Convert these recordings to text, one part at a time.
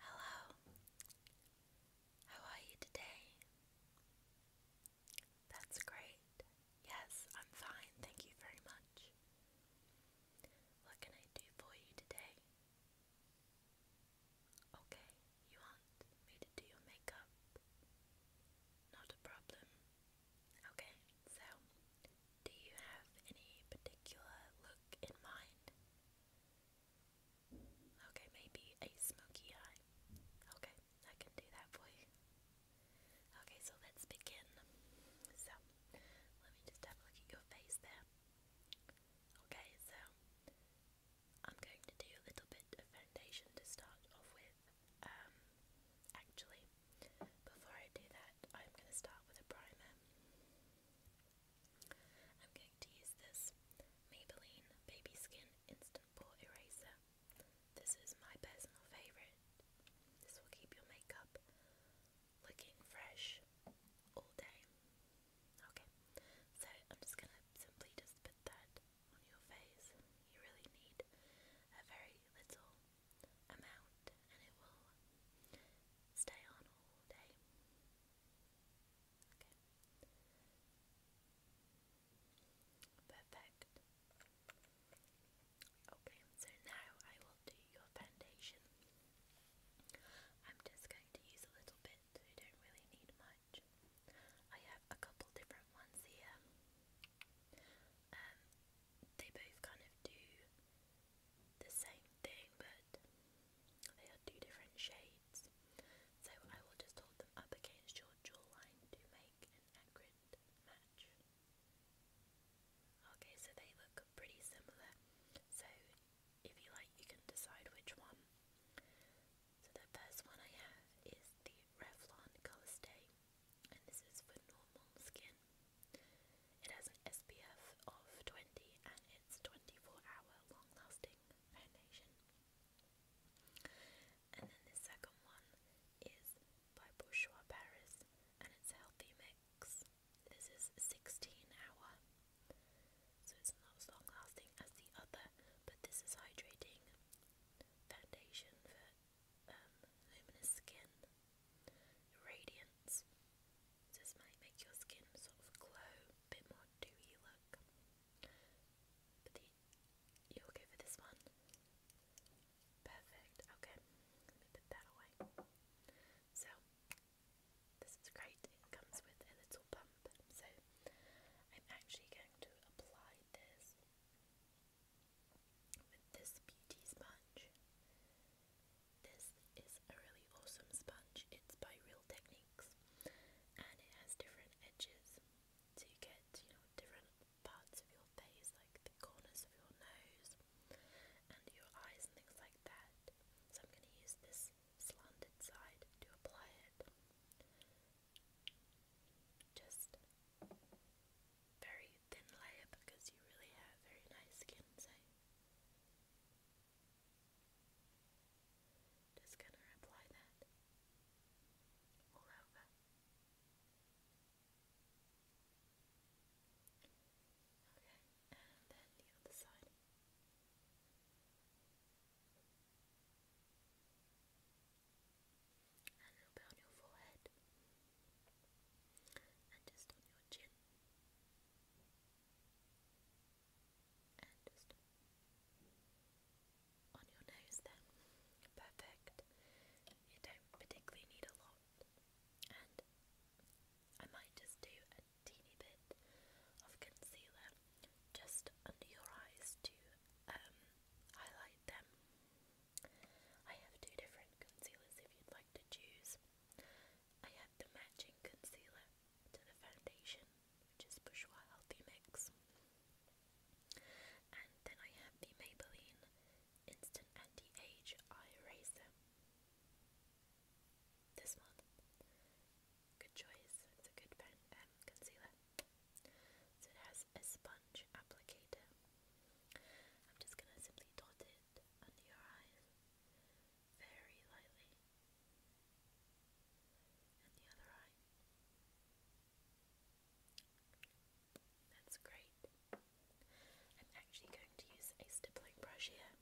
Hello, how are you today? That's great. Yes, I'm fine, thank you very much. What can I do for you today? Okay, you want me to do your makeup? Not a problem. Okay, so do you have any particular look in mind? Okay, maybe a smoky eye. Okay, I can do that for you. Okay, so let's begin. So, let me just have a look at your face there. Okay, so I'm going to do a little bit of foundation to start off with. Um, actually, before I do that, I'm going to start with a primer. I'm going to use this Maybelline Baby Skin Instant Pore Eraser. This is my personal favourite. This will keep your makeup looking fresh all day. Okay, so I'm just gonna simply just put that on your face. You really need a very little amount and it will stay on all day. Perfect. Okay, so now I will do your foundation. I'm just going to use a little bit, I don't really need much. I have a couple different ones here. Um, they both kind of do the same thing, but they are two different shades. So I will just hold them up against your jawline to make an accurate match. Okay, so they look pretty similar. So if you like, you can decide which one. So the first one I have is the Revlon Color and this is for normal skin. It has an SPF of 20 and it's 24 hour long lasting foundation. And then the second one is by Bourjois Paris and it's healthy mix this is 16 hour, so it's not as long lasting as the other, but this is hydrating foundation for um, luminous skin. Radiance. This might make your skin sort of glow, a bit more dewy look. But you okay for this one? Perfect, okay. put that away. So, this is great, it comes with a little pump, so I'm actually going to apply this with this beauty sponge. This is a really awesome sponge, it's by Real Techniques and it has different edges so you get, you know, different parts of your face, like the corners of your nose, under your eyes and things like that. So I'm going to use this slanted side to apply it. Just very thin layer because you really have very nice skin, just going to apply that all over. Okay and then the other side. And a bit on your forehead and just on your chin and just on your nose then. Perfect. You don't particularly need a lot. And I might just do a teeny bit of concealer just under your eyes to um, highlight them. I have two different concealers if you'd like to choose. I have the matching concealer to the foundation, which is Bourjois Healthy Mix. And then I have the Maybelline Instant Anti-Age Eye Eraser this one. Good choice. It's a good pen, um, concealer. So it has a sponge applicator. I'm just gonna simply dot it under your eyes very lightly, and the other eye. That's great. I'm actually going to use a stippling brush here.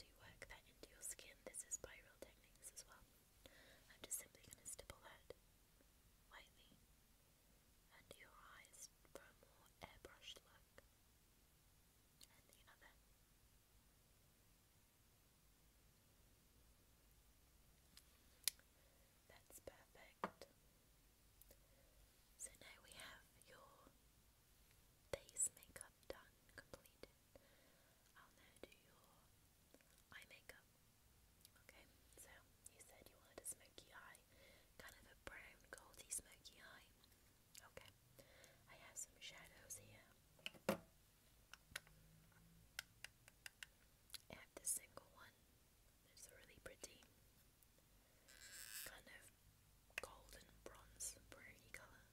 To work that into your skin, this is spiral techniques as well. I'm just simply going to stipple that lightly under your eyes for a more airbrushed look. And the other. That's perfect. So now we have your Face makeup done, completed. I'll now do your eye makeup. Okay, so you said you wanted a smoky eye, kind of a brown, goldy, smoky eye. Okay, I have some shadows here. I have this single one. It's really pretty kind of golden bronze browny colour,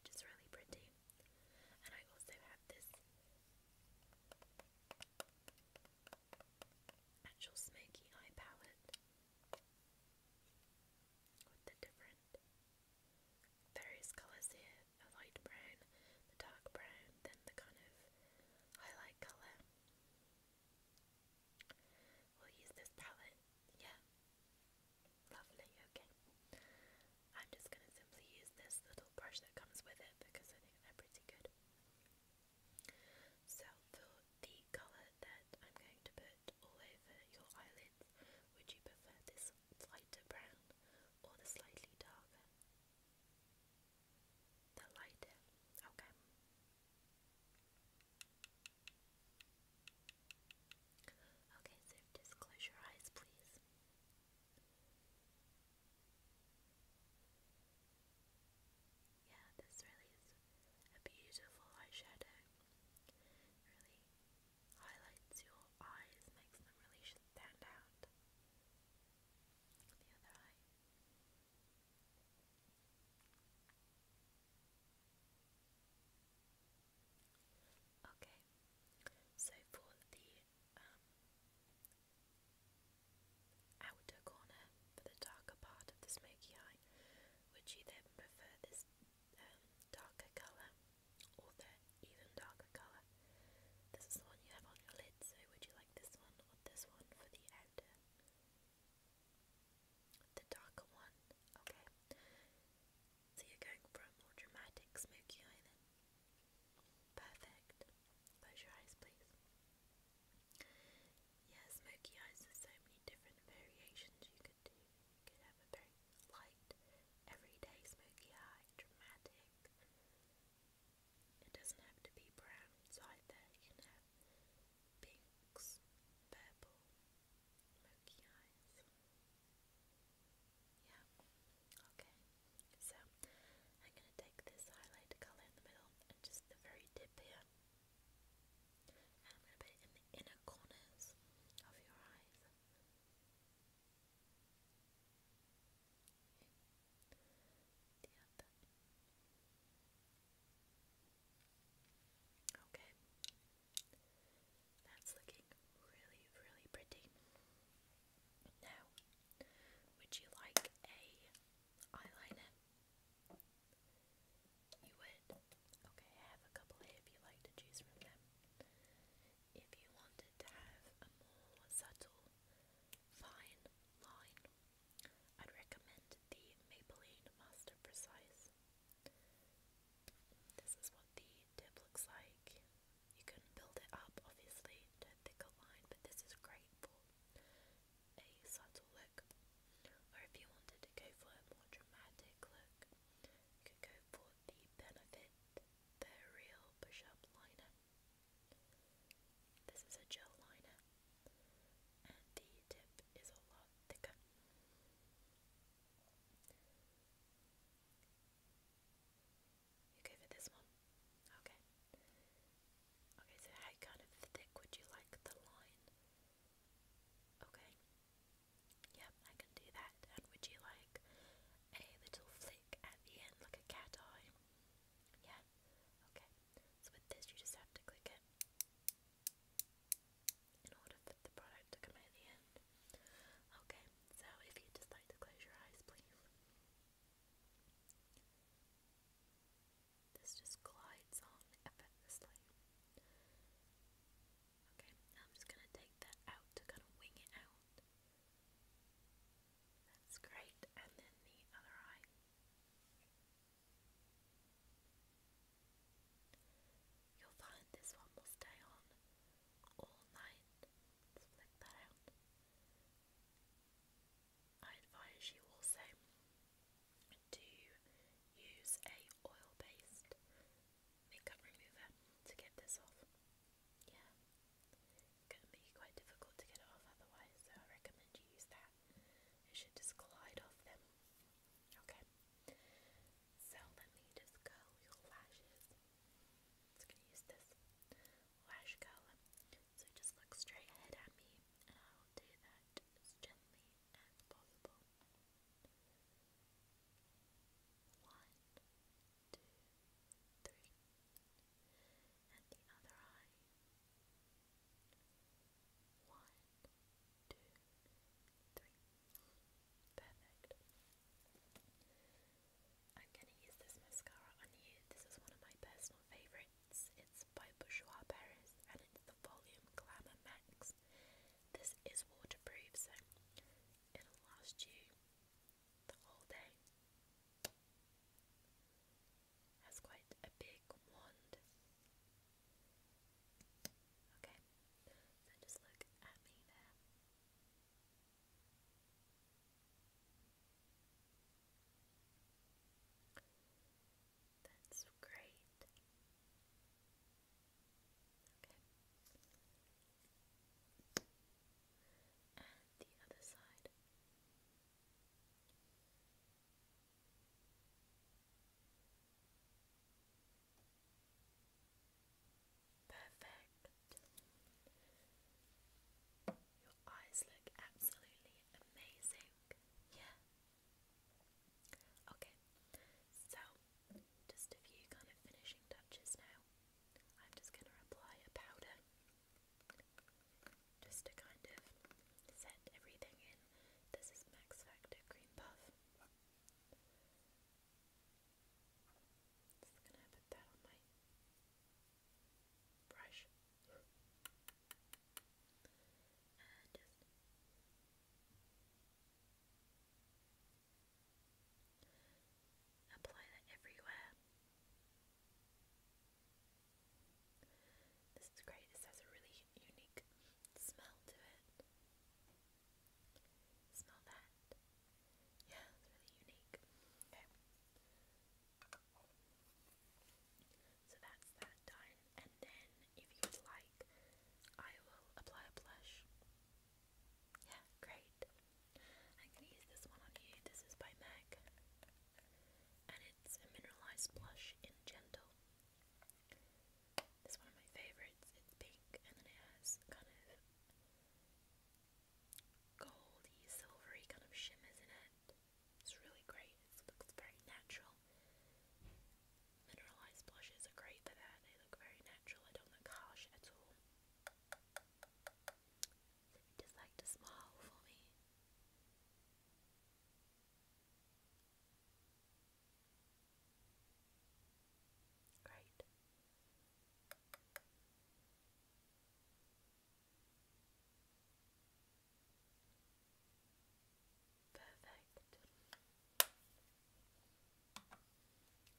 which is really pretty. And I also have this actual smoky eye palette with the different various colours here a light brown, the dark brown, then the kind of highlight colour. We'll use this palette, yeah. Lovely, okay. I'm just going to simply use this little brush that comes with it because I think they're pretty good. So, for the colour that I'm going to put all over your eyelids, would you prefer this lighter brown or the slightly darker? The lighter, okay. Okay, so just close your eyes, please. Yeah, this really is a beautiful eyeshadow. really highlights your eyes, makes them really stand out. The other eye. Okay, so for the um, outer corner, for the darker part of the smoky eye, would you then prefer this um, darker colour or the even darker colour? This is the one you have on your lid, so would you like this one or this one for the outer? The darker one, okay. So you're going for a more dramatic smoky eye Perfect. Close your eyes, please. Yeah, smoky eyes, there's so many different variations you could do. You could have a very light, everyday smoky eye, dramatic. It doesn't have to be brown side there, you can have pinks, purple, murky eyes. Yeah, okay. So I'm going to take this highlighter colour in the middle and just the very tip here. And I'm going to put it in the inner corners of your eyes. The other. Okay. That's looking really, really pretty. Now, would you like a eyeliner? You would? Okay, I have a couple if you like to choose from them. If you wanted to have a more subtle, fine line, I'd recommend the Maybelline Master Precise this is what the tip looks like. You can build it up, obviously, to a thicker line, but this is great for a subtle look. Or if you wanted to go for a more dramatic look, you could go for the Benefit The Real Push Up Liner. This is a gel liner and the tip is a lot thicker. You for this one? Okay. Okay, so how kind of thick would you like the line? Okay. Yep, I can do that. And would you like a little flick at the end, like a cat eye? Yeah? Okay. So with this, you just have to click it in order for the product to come out the end. Okay, so if you'd just like to close your eyes, please. This just glides on effortlessly. Okay, I'm just going to take that out to kind of wing it out. That's great, and then the other eye. You'll find this one will stay on all night. I advise you also to use a oil-based makeup remover to get this off. Yeah, it's going to be quite difficult to get it off otherwise, so I recommend you use that. It should just glide off them. Okay. So let me just go your lashes. Just gonna use this lash curler. So just look straight ahead at me and I will do that as gently as possible. One, two, three. And the other eye. One, two, three. Perfect. I'm going to use this mascara on you. This is one of my personal favourites. It's by Bourjois Paris and it's the Volume Glamour Max. This is waterproof, so it'll last you the whole day. Has quite a big wand, Okay, so just look at me there. That's great. Okay. And the other side. Perfect. Your eyes look absolutely amazing. Yeah. Okay. So, just a few kind of finishing touches now. I'm just going to apply a powder just to kind of set everything in. This is Max Factor Cream Puff. Just gonna put that on my brush uh, and just apply that everywhere. This is great, this has a really unique smell to it. Smell that. Yeah, it's really unique. Okay. So that's that done. And then, if you would like, I will apply a blush. Yeah, great. I'm use this one on you. This is by MAC. And it's a mineralized blush in Gentle is one of my favorites. It's pink and then it has kind of goldy, silvery kind of shimmers in it. It's really great. It looks very natural. Mineralized blushes are great for that. They look very natural. I don't look harsh at all. just like to smile for me. Great. Perfect.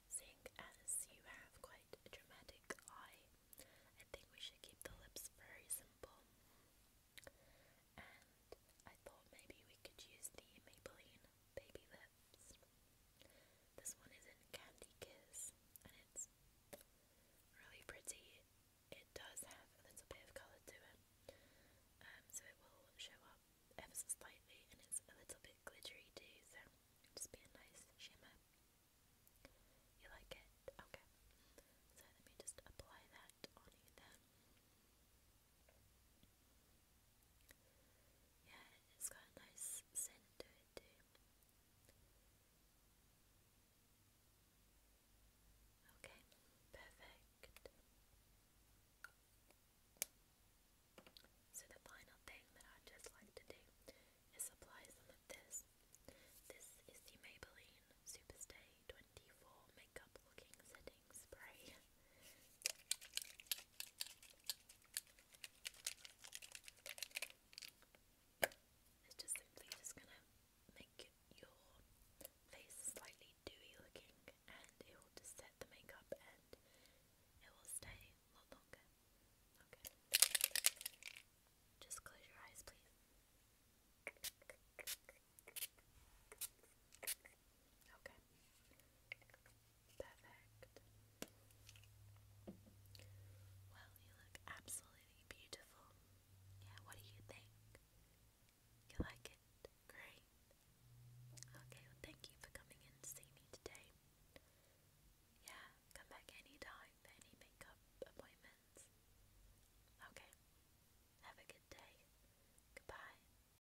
Seeing as you have quite a dramatic eye, I think we should keep the lips very simple and I thought maybe we could use the Maybelline Baby Lips. This one is in Candy Kiss, and it's really pretty. It does have a little bit of colour to it, um, so it will show up ever so slightly, and it's a little bit glittery too, so it just be a nice shimmer. You like it? Okay. So let me just apply that on you then. Yeah, it's got a nice scent to it too. Okay, perfect. So the final thing that i just like to do is apply some of this. This is the Maybelline Superstay 24 Makeup Looking Setting setting spray. It's just simply just gonna make your face slightly dewy looking and it will just set the makeup and it will stay a lot longer. Okay. Just close your eyes please. Okay. Perfect. Well, you look absolutely beautiful. Yeah, what do you think? You like it? Great. Okay, thank you for coming in to see me today. Yeah, come back anytime any makeup appointments. Okay, have a good day. Goodbye,